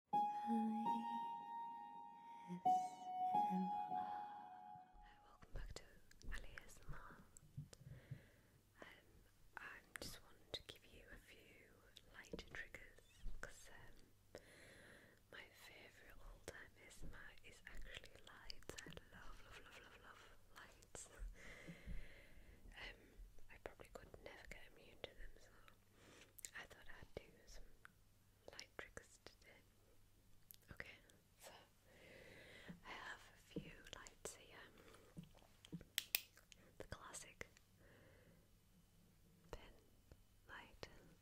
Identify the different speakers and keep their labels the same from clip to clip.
Speaker 1: Welcome back to AliSMR. Um, I just wanted to give you a few lighter triggers because um, my favourite all time ASMR is actually lights. I love, love, love, love, love lights. Um, I probably could never get immune to them, I thought I'd do some light tricks today. Okay, so I have a few lights here. The classic pen light, like this.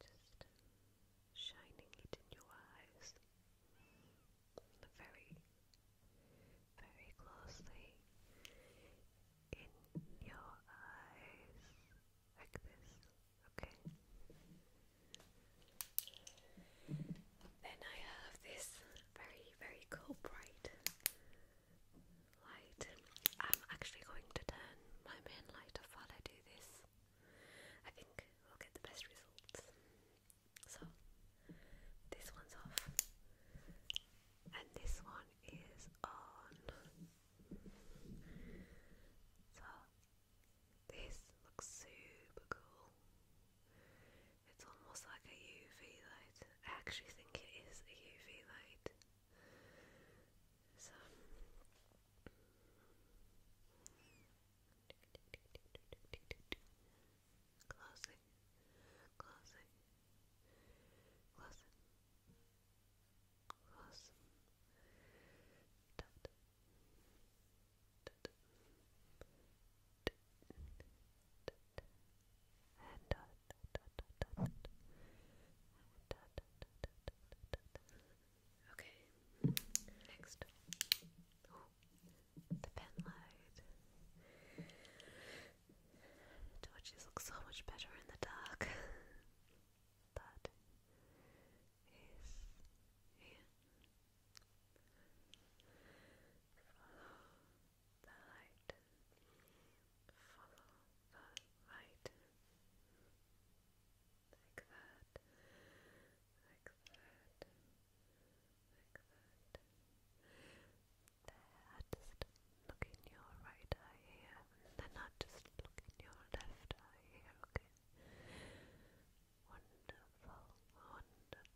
Speaker 1: Just shining it in your eyes very, very closely in your eyes, like this, okay? Then I have this very, very cool bright light. I'm actually going to turn my main light off while I do this I think we'll get the best results. So this one's off, and this one is on. So this looks super cool. It's almost like a UV light. I actually think it is a UV light. So Closing, closing, closing, closing, Tut. Tut. Tut. and dot Okay, next. the pen light. Torches look so much better in the dark. that is Follow the light follow the light like that, like that, like that. They're just look in your right eye here. They're not just look in your left eye here, okay? Wonderful, wonderful,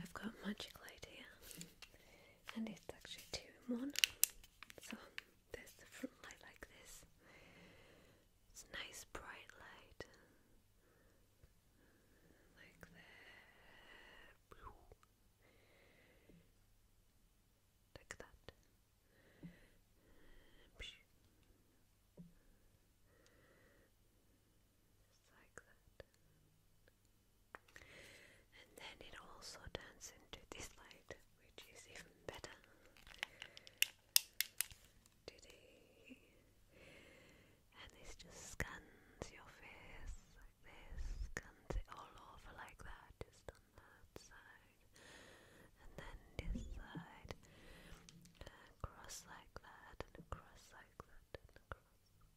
Speaker 1: I've got a magical idea, and it's actually two in one. So there's the front light like this. It's nice bright light, like that like that. Just like that. And then it also turns into this light, which is even better. And this just scans your face like this, scans it all over like that, on that side, and then this side, across like that, and across like that, and across,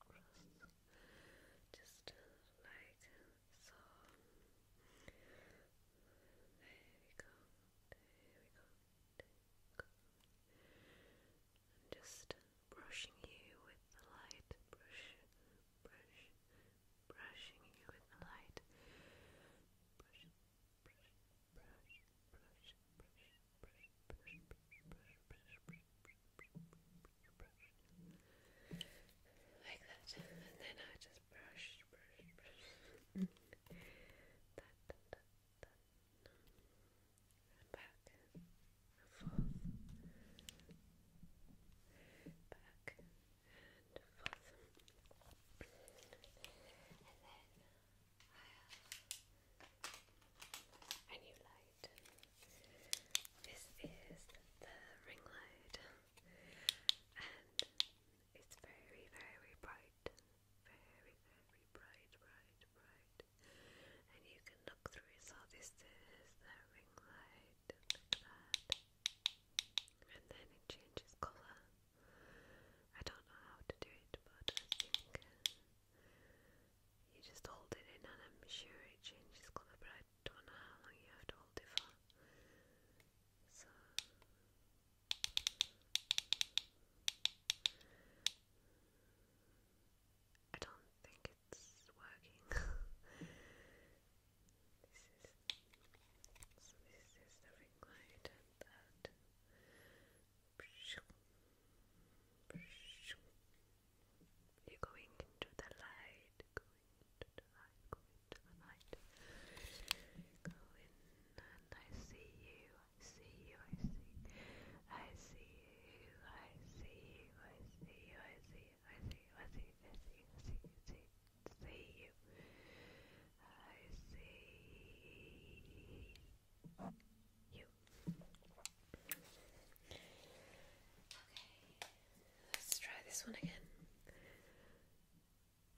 Speaker 1: across, just like so. There we go, there we go, just brushing you with the light, brush, brush, brushing you with the light, brush, brush, brush, brush, brush, brush, brush, brush, brush, brush, brush, like that, and then I just brush, brush, brush. that, that, that, that and back and forth, back and forth. And then a new light. This is the ring light, and it's very, very bright. Very, very bright, bright, bright and you can look through. So this is the ring light, and then it changes color. I don't know how to do it, but I think you just hold it in, and I'm sure it changes color. But I don't know how long you have to hold it for. So. I don't think it's working. this is this is the ring light that you're going into the light, going into the light, going into the light. Go and I see you, I see you, I see you, I see you, I see you, I see you, I see you, I see you, I see you, I see you, I see you, see you. I see you. Okay, let's try this one again.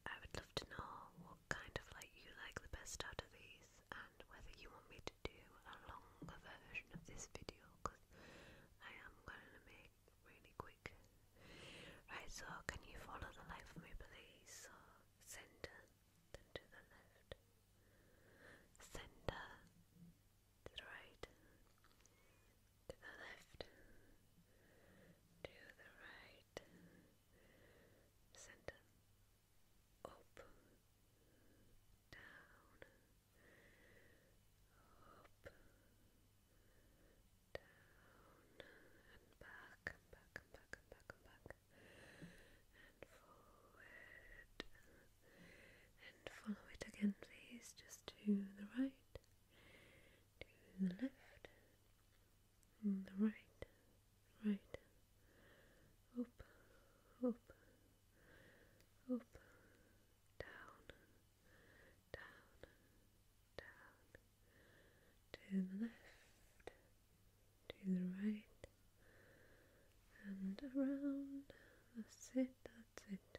Speaker 1: I would love to know what kind of light you like the best out of these and whether you want me to do a longer version of this video because I am going to make really quick. Right, so can you follow the light for me please? So centre, then to the left. Centre, to the right, to the left, to the right. Center. Up, down, up, down, and back, and back, and back, and back, and forward, and follow it again, please, just to the right, to the left, and the right, right, up, up, up, down, down, down, to the left, to the right, and around. That's it, that's it.